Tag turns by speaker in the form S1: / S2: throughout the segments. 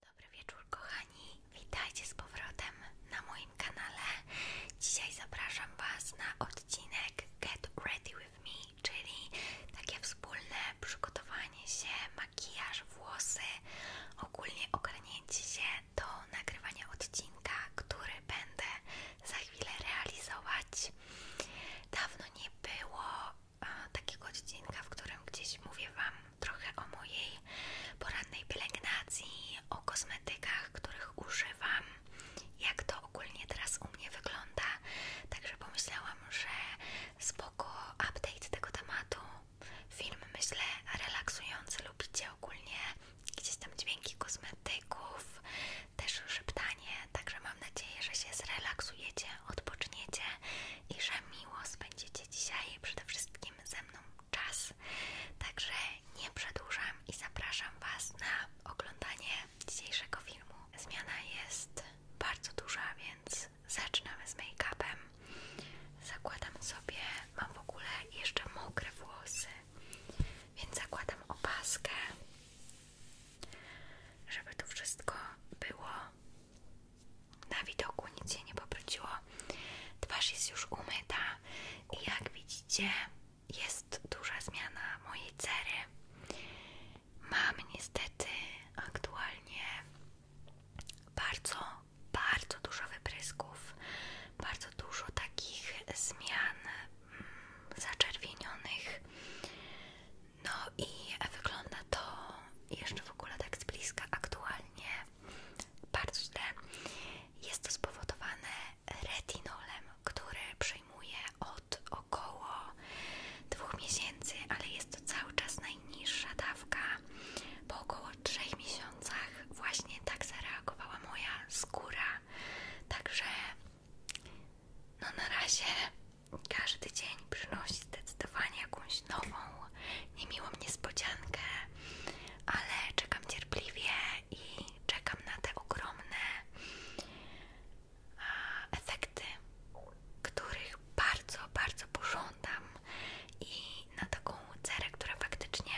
S1: Dobry wieczór kochani, witajcie z powrotem na moim kanale. Dzisiaj zapraszam Was na odcinek Get Ready With Me, czyli takie wspólne przygotowanie się, makijaż, włosy, ogólnie ogarnięcie się do nagrywania odcinka, który będę za chwilę realizować. Dawno nie było e, takiego odcinka, w którym gdzieś mówię Wam trochę o mojej porannej pielęgnacji, o kosmetykach, których używam, jak to ogólnie teraz u mnie wygląda. Także pomyślałam, że spoko update tego tematu. Film myślę relaksujący, lubicie ogólnie gdzieś tam dźwięki kosmetyków, też szeptanie, także mam nadzieję, że się zrelaksujecie, odpoczniecie i że miło spędzicie dzisiaj przede wszystkim ze mną czas. Także nie przedłużam i zapraszam Was na oglądanie dzisiejszego filmu. Zmiana jest bardzo duża, więc zaczynamy z make-upem. Zakładam sobie, mam w ogóle jeszcze mokre włosy, więc zakładam opaskę, żeby to wszystko było na widoku nic się nie poprudziło. Twarz jest już umyta i jak widzicie, jest duża zmiana mojej cery. Mam niestety aktualnie bardzo, bardzo dużo wyprysków, bardzo dużo takich zmian mm, zaczerwienionych. No i wygląda to jeszcze w ogóle tak z bliska aktualnie bardzo źle. Jest to spowodowane retinolem, który przyjmuję od około dwóch miesięcy, ale jest to cały czas najniższa dawka. Po około trzech miesiącach właśnie tak zareagowała moja skóra. Także no na razie każdy dzień przynosi zdecydowanie jakąś nową niemiłą niespodziankę, ale czekam cierpliwie i czekam na te ogromne efekty, których bardzo, bardzo pożądam i na taką cerę, która faktycznie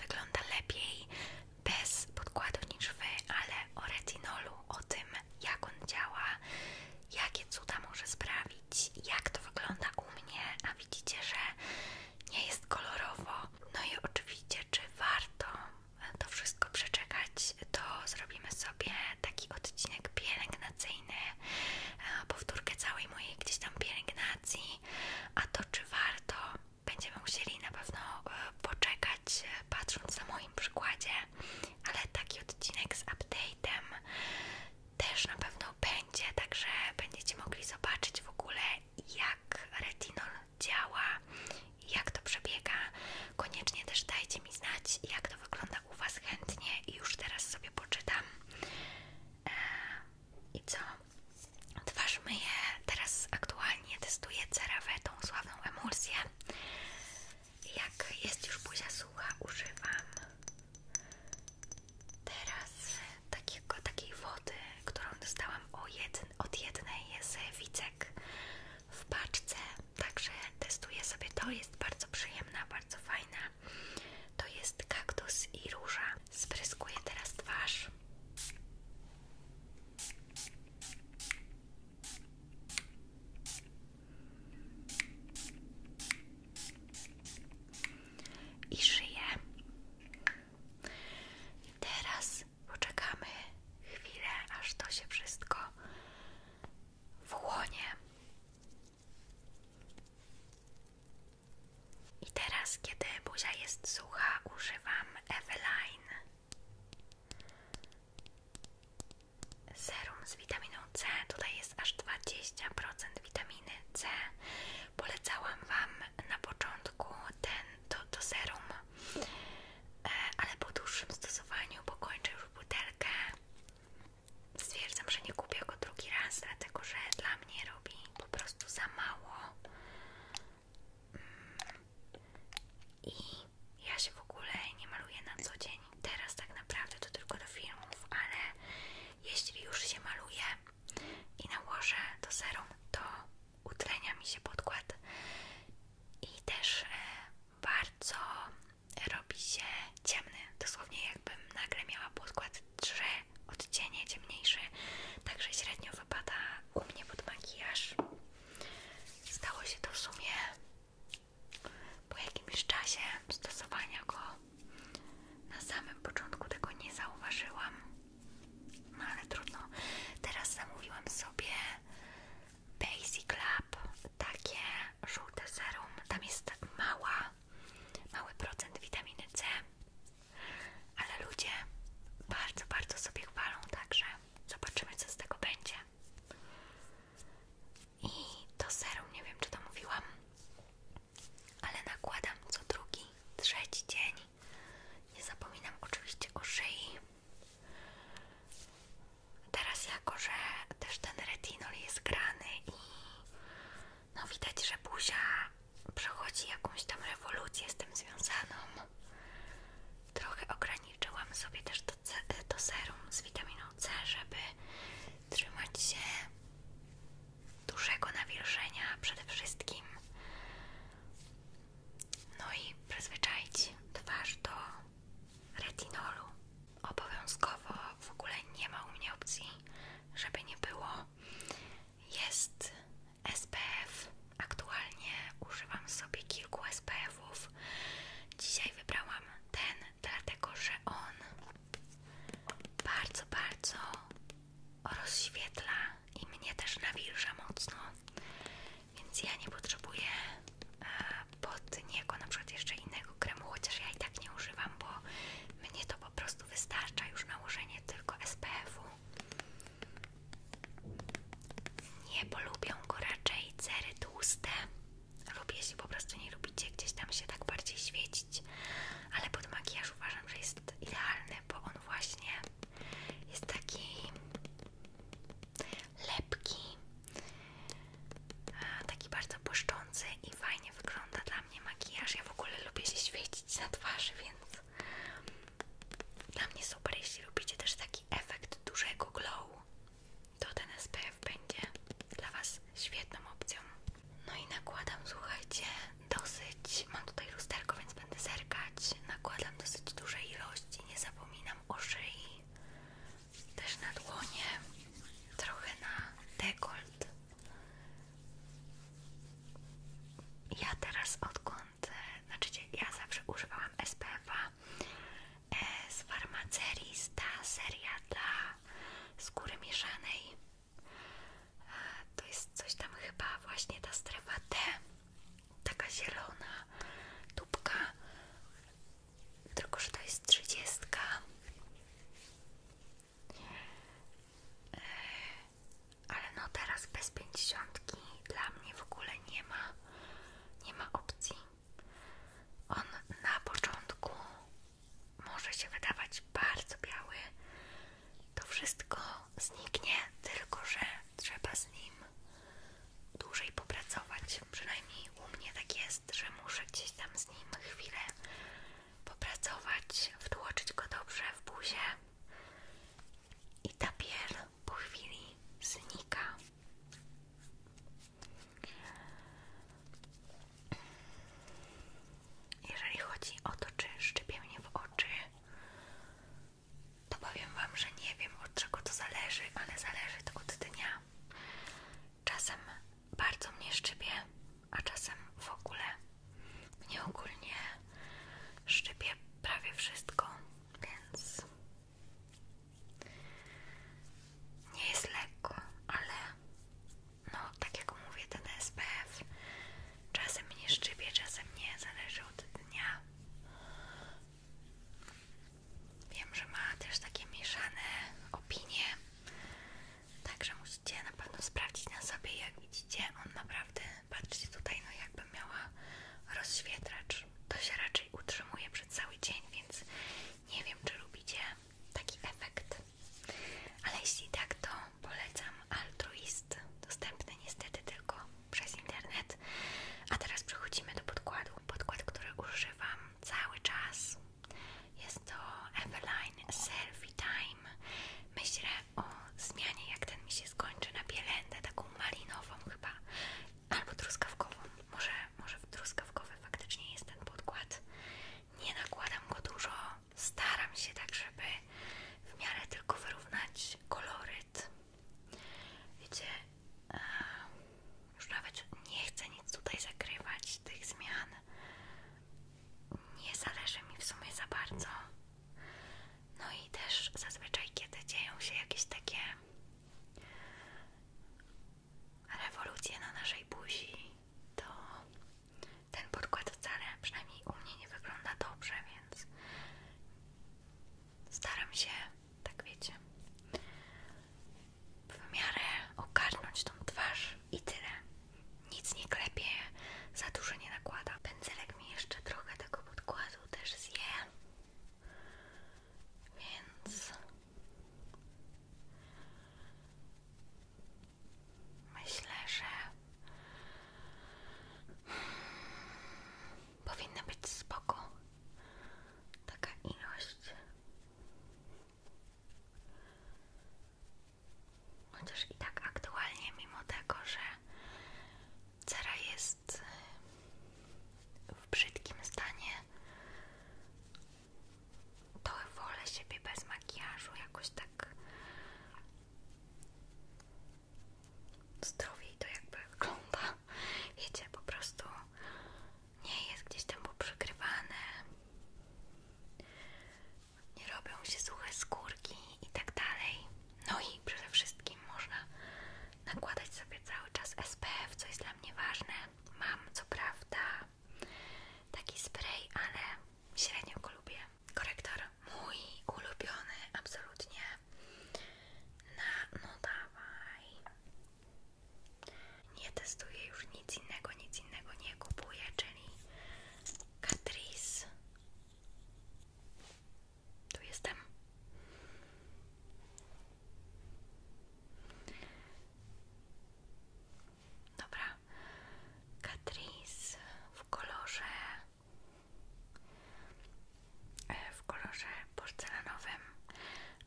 S1: wygląda lepiej bez podkładu niż wy, ale o retinolu, o tym jak on działa, jakie cuda może sprawić, jak to wygląda u mnie, a widzicie, że nie jest kolorowo. No i oczywiście, czy warto to wszystko przeczekać, to zrobimy sobie taki odcinek pielęgnacyjny, e, powtórkę całej mojej gdzieś tam pielęgnacji, a to czy warto, będziemy musieli na pewno e, poczekać, e, patrząc na moim przykładzie, ale taki odcinek z update'em też na pewno będzie, także będziecie mogli zobaczyć w ogóle jak retinol działa jak to przebiega. Koniecznie też dajcie mi znać jak to wygląda u Was chętnie i już teraz sobie poczytam. E, I co? Twarz myję, teraz aktualnie testuję CeraVe, tą sławną emulsję. Jak jest już buzia sucha, używam Teraz takiego, takiej wody, którą dostałam od jednej jest Wicek w paczce, także testuję sobie to, jest bardzo przyjemna, bardzo fajna. To jest kaktus i róża. Spryskuję teraz twarz i szyję. Teraz poczekamy chwilę, aż to się wszystko wchłonie. I teraz, kiedy buzia jest sucha, używam Eveline serum z witaminą C. Tutaj jest aż 20% witaminy C. Polecałam Wam na początku ten, to, to serum, e, ale po dłuższym stosowaniu, bo kończę już butelkę, stwierdzam, że nie kupię go drugi raz, dlatego że dla mnie robi po prostu za mało. Mm. I ja się w ogóle nie maluję na co dzień. Teraz tak naprawdę to tylko do filmów, ale jeśli już się maluję i nałożę to serum, to utlenia mi się podkład i też e, bardzo robi się ciemny, dosłownie jakbym nagle miała podkład trzy odcienie ciemniejszy, także średnio wypada u mnie pod makijaż. Stało się to w sumie po jakimś czasie stosowania go na samym początku tego nie zauważyłam, no ale trudno. Teraz zamówiłam sobie Basic Lab, takie żółte serum. Tam jest tak mała, mały procent witaminy C, ale ludzie bardzo, bardzo sobie chwalą, także zobaczymy co z tego będzie i to serum, nie wiem czy to mówiłam, ale nakładam co drugi, trzeci dzień. Nie zapominam oczywiście o szyi. Teraz jako, że też ten retinol jest grany i no widać, że buzia przechodzi jakąś tam rewolucję z tym związaną. Trochę ograniczyłam sobie też to serum z witaminą C, żeby trzymać się dużego nawilżenia przede wszystkim. No i przyzwyczaić twarz do retinolu. Obowiązkowo w ogóle nie ma u mnie opcji, żeby nie było. Jest SPF. Aktualnie używam sobie kilku SPFów. Dzisiaj wybrałam ten, dlatego że on bardzo, bardzo rozświetla i mnie też nawilża mocno, więc ja nie potrzebuję e, pod niego na przykład jeszcze innego kremu, chociaż ja i tak nie używam, bo mnie to po prostu wystarcza już nałożenie tylko SPF-u. Nie polubią go raczej cery tłuste. Lub jeśli po prostu nie lubicie gdzieś tam się tak bardziej świecić, ale pod makijaż uważam, że jest idealny, bo on właśnie jest taki lepki, e, taki bardzo błyszczący i fajnie wygląda dla mnie makijaż. Ja w ogóle lubię się świecić na twarzy, więc dla mnie super, jeśli lubicie też taki efekt dużego glow, to ten SPF będzie dla Was świetną opcją. No i nakładam, słuchajcie, dosyć, mam tutaj lusterko, więc będę zerkać, nakładam dosyć duże ilości, nie zapominam o szyi, też na dłonie, trochę na dekolt. Ja teraz odkąd, e, znaczy ja zawsze używałam spf e, z farmacerii, ta seria dla skóry mieszanej to jest coś tam chyba właśnie ta strefa T, taka zielona tubka, tylko że to jest trzydziestka. E, ale no teraz bez pięćdziesiątki dla mnie w ogóle nie ma, nie ma opcji. On na początku może się wydawać bardzo biały, to wszystko zniknie, tylko że trzeba z nim dłużej popracować. Przynajmniej u mnie tak jest, że muszę gdzieś tam z nim chwilę popracować, wtłoczyć go dobrze w buzię i ta piel po chwili znika. Jeżeli chodzi o to, czy szczypie mnie w oczy, to powiem Wam, że nie wiem od czego to zależy, ale zależy to od dnia. Czasem bardzo mnie szczypie, a czasem w ogóle. Mnie ogólnie szczypie prawie wszystko, więc nie jest lekko, ale no tak jak mówię, ten SPF czasem mnie szczypie, czasem nie, zależy od dnia. Wiem, że ma też takie mieszane opinie, także musicie na pewno sprawdzić na sobie, jak widzicie, on naprawdę, patrzcie tutaj, no jakby miała rozświetlacz. To się raczej utrzymuje przez cały dzień, więc nie wiem, czy lubicie taki efekt. Ale jeśli tak, to polecam altruist, dostępny niestety tylko przez internet. A teraz przechodzimy do podkładu. Podkład, który używam cały czas, jest to Eveline Selfie Time. Myślę o zmianie, jak ten mi się skończy na bielędę, taką malinową chyba, albo truskawkową. Może, może truskawkowy faktycznie jest ten podkład. Nie nakładam go dużo, staram się tak, żeby w miarę tylko wyrównać koloryt. Wiecie, e, już nawet nie chcę nic tutaj zakrywać tych zmian. Nie zależy mi w sumie za bardzo. No i też zazwyczaj, kiedy dzieją się jakieś takie rewolucje na naszej buzi, to ten podkład wcale przynajmniej u mnie nie wygląda dobrze, więc staram się, tak wiecie, w miarę ogarnąć tą twarz i tyle. Nic nie klepie, za dużo nie nakłada. Pędzelek mi jeszcze trochę tego podkładu też zje, więc Myślę, że powinna być spoko taka ilość. Chociaż i tak aktualnie, mimo tego, że cera jest w brzydkim stanie, to wolę siebie bez makijażu, jakoś tak zdrowiej to jakby wygląda. Wiecie, po prostu nie jest gdzieś tam poprzykrywane, nie robią się suche skórki itd. Tak no i przede wszystkim można nakładać sobie cały czas SPF, co jest dla mnie ważne. Mam co prawda Taki spray, ale średnio go lubię. Korektor mój ulubiony, absolutnie. Na, no dawaj. Nie testuję już nic innego, nic innego nie kupuję, czyli Catrice. Tu jestem. Dobra. Catrice w kolorze e, w kolorze porcelanowym.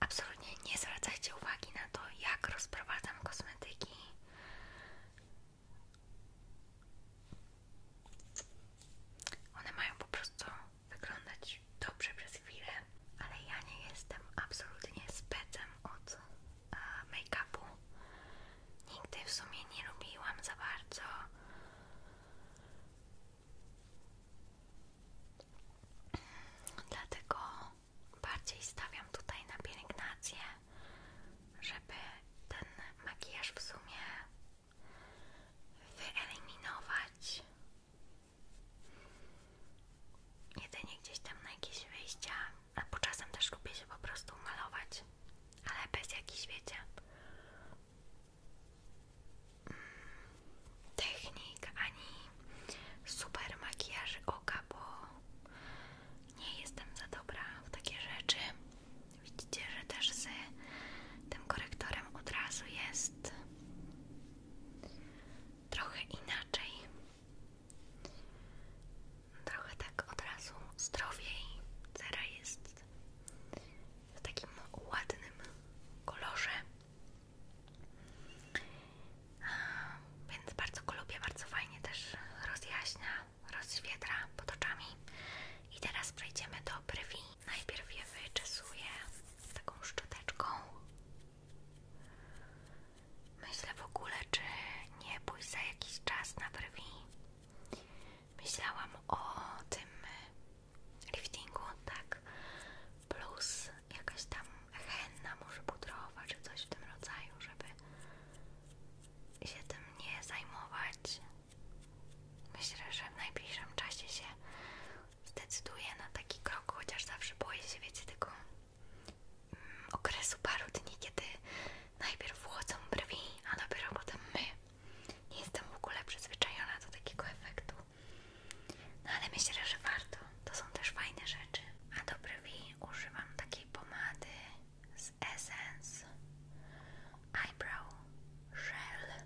S1: Absolutnie nie zwracajcie uwagi na to, jak rozprowadzam kosmetyki. One mają po prostu wyglądać dobrze przez chwilę, ale ja nie jestem absolutnie specem od E, make-upu. Nigdy w sumie nie lubiłam za bardzo dlatego bardziej stawiam tutaj na pielęgnację, żeby ten makijaż w sumie wyeliminować. Jedynie gdzieś tam na jakieś wyjścia albo czasem też lubię się po prostu malować, ale bez jakiejś wiecie, mm, technik, ani super makijaży oka, bo nie jestem za dobra w takie rzeczy. Widzicie, że też z tym korektorem od razu jest trochę inaczej. Trochę tak od razu zdrowiej. Cera jest w takim ładnym kolorze. Więc bardzo go lubię, bardzo fajnie też rozjaśnia, rozświetra pod oczami. I teraz przejdziemy do brwi. Najpierw je wyczesuję taką szczoteczką. Myślę w ogóle, czy nie pójść za jakiś czas na brwi. Myślałam o tym liftingu, tak, plus jakaś tam henna może pudrowa, czy coś w tym rodzaju, żeby się tym nie zajmować. Myślę, że w najbliższym czasie się zdecyduję na taki krok, chociaż zawsze boję się, wiecie, tego okresu paru dni, kiedy najpierw wchodzą brwi, a dopiero potem my. Nie jestem w ogóle przyzwyczajona do takiego efektu. No, ale myślę, że warto. To są też fajne rzeczy. A do brwi używam takiej pomady z Essence Eyebrow Gel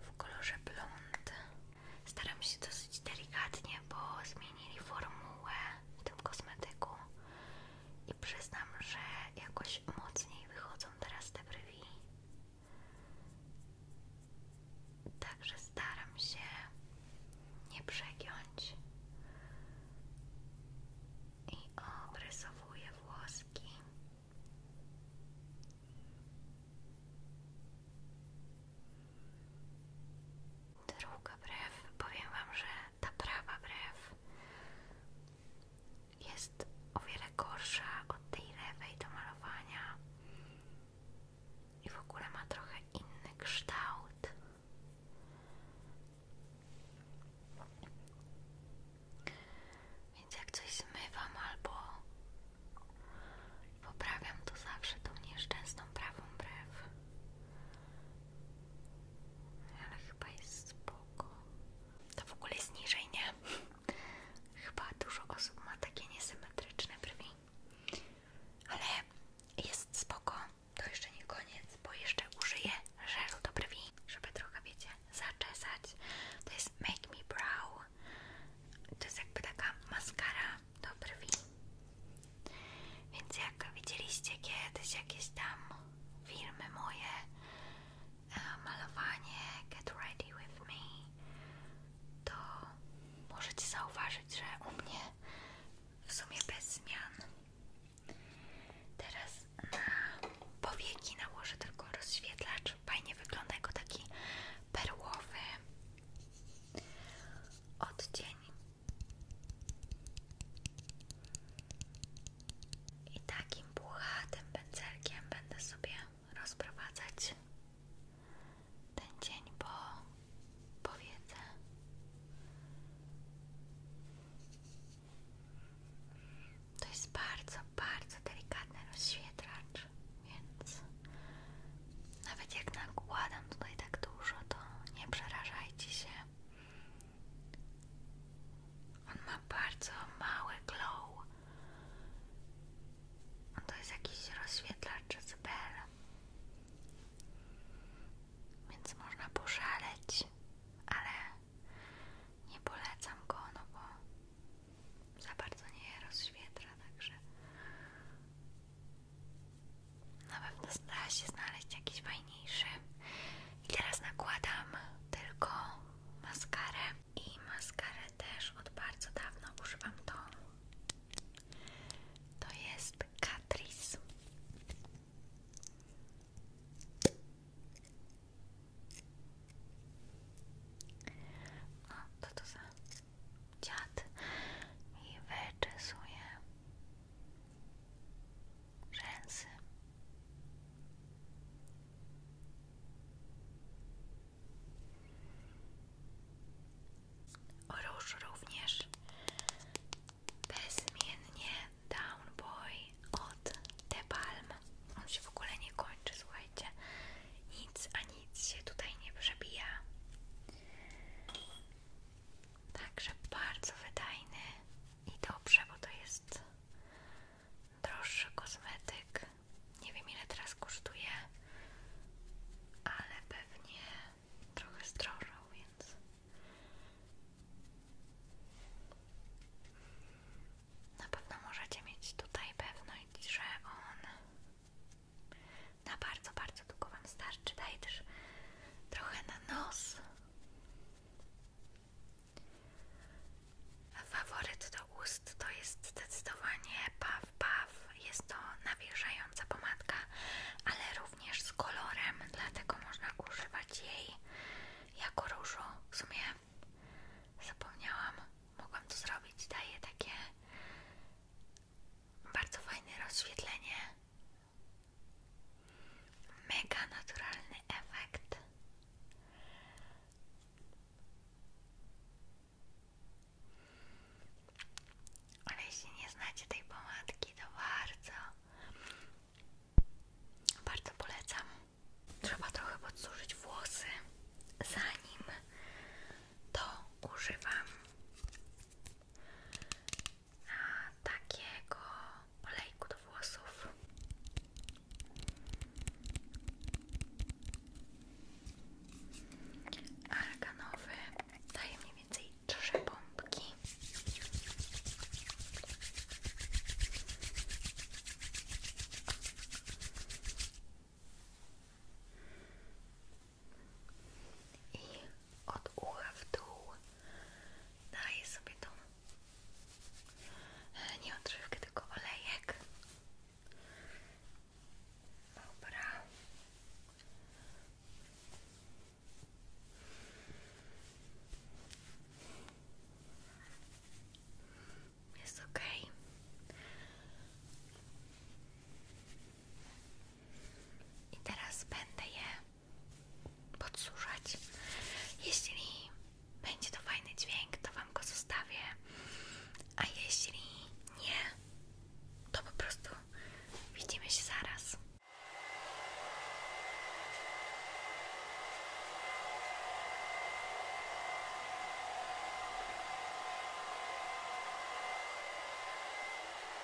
S1: w kolorze blond. Staram się dosyć delikatnie, bo zmienili formułę w tym kosmetyku i przyznam, że jakoś mocniej wychodzą teraz te brwi. Także staram się nie przegiąć i obrysowuję włoski. Druga brew, powiem Wam, że ta prawa brew jest o wiele gorsza od tej lewej do malowania i w ogóle ma trochę inny kształt. Więc jak coś zmywam albo poprawiam, to zawsze tą nieszczęsną prawą brew ale chyba jest spoko. To w ogóle jest niżej, nie? Chyba dużo osób ma takie niesymetryczne brwi. Ale jest spoko. To jeszcze nie koniec, bo jeszcze użyję żelu do brwi, żeby trochę, wiecie, zaczesać. To jest Make Me Brow. To jest jakby taka maskara do brwi. Więc jak widzieliście kiedyś jakieś tam filmy moje, e, malowanie Get Ready With Me, to możecie zauważyć, że u mnie w sumie bez zmian. Teraz na powieki nałożę tylko rozświetlacz. Fajnie wygląda jako taki perłowy odcień i takim puchatym pędzelkiem będę sobie rozprowadzać ten dzień po powiece. To jest bardzo, bardzo delikatny rozświetlacz, więc nawet jak nakładam tutaj tak dużo, to nie przerażajcie się. On ma bardzo mały glow. to jest jakiś rozświetlacz z bel. Więc można poszaleć, ale nie polecam go, no bo za bardzo nie rozświetla, także na pewno stara się znaleźć jakiś fajniejszy. I teraz nakładam tylko maskarę. I maskarę też od bardzo dawna używam tą. To jest Catrice. No, to to za dziad i wyczesuję rzęsy. Róż również bezmiennie Down Boy od The Palm. On się w ogóle nie kończy, słuchajcie. Nic a nic się tutaj nie przebija. Także bardzo wydajny i dobrze, bo to jest droższy kosmetyk. Nie wiem ile teraz kosztuje, ale pewnie trochę zdrożał, więc na pewno możecie mieć tutaj pewność, że on na bardzo, bardzo długo Wam starczy. Daje też trochę na nos. Faworyt do ust to jest zdecydowanie Paw Paw. Jest to nawierzająca pomadka, ale również z kolorem, dlatego można używać jej jako różu. W sumie zapomniałam, mogłam to zrobić. Daje takie bardzo fajne rozświetlenie Mega naturalny efekt. Ale jeśli nie znacie tej pomadki, to bardzo, bardzo polecam. Trzeba trochę podsużyć włosy, zanim to używam takiego olejku do włosów. Arganowy daje mniej więcej trzy pompki od ucha w dół. Daję sobie tą e, nie odżywkę, tylko olejek. Dobra. Jest ok. I teraz będę je podsuszać. Jeśli będzie to fajny dźwięk, to Wam go zostawię, a jeśli nie, to po prostu widzimy się zaraz.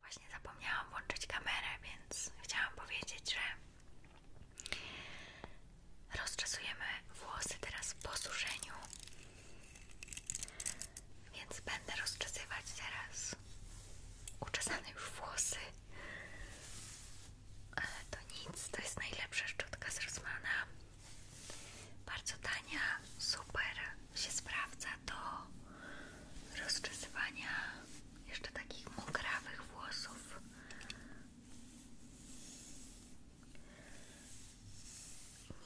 S1: Właśnie zapomniałam włączyć kamerę, więc chciałam powiedzieć, że Rozczesujemy włosy teraz po suszeniu, więc będę rozczesywać teraz uczesane już włosy. Ale to nic, to jest najlepsza szczotka z Bardzo tania, super się sprawdza do rozczesywania jeszcze takich mokrawych włosów.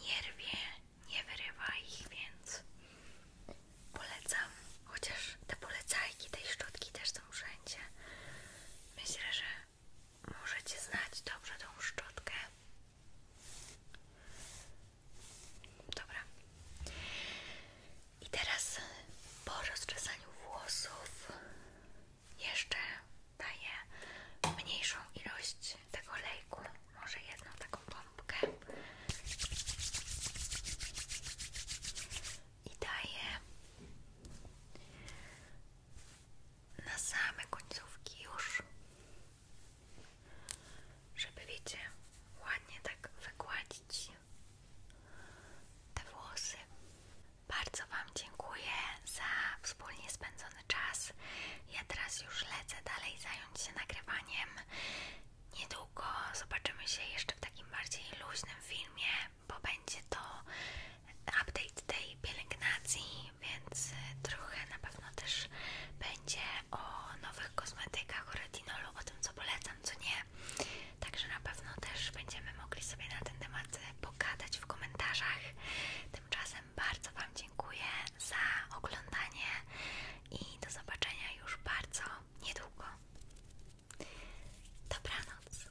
S1: Nie nie wyrywa ich, więc polecam. Chociaż te polecajki tej szczotki też są wszędzie. Myślę, że możecie znać dobrze tą szczotkę. Dobra. I teraz po rozczesaniu włosów jeszcze daję mniejszą ilość tego lejku, może jedną taką pompkę i daję na same końcówki już, żeby wiecie, ładnie tak wygładzić te włosy. Bardzo Wam dziękuję za wspólnie spędzony czas. Ja teraz już lecę dalej zająć się nagrywaniem. Niedługo zobaczymy się jeszcze w takim bardziej luźnym filmie, bo będzie to update tej pielęgnacji, więc y, trochę na pewno też będzie o nowych kosmetykach, o retinolu, o tym co polecam, co nie. Także na pewno też będziemy mogli sobie na ten temat e, pogadać w komentarzach. Tymczasem bardzo Wam dziękuję za oglądanie i do zobaczenia już bardzo niedługo. Dobranoc.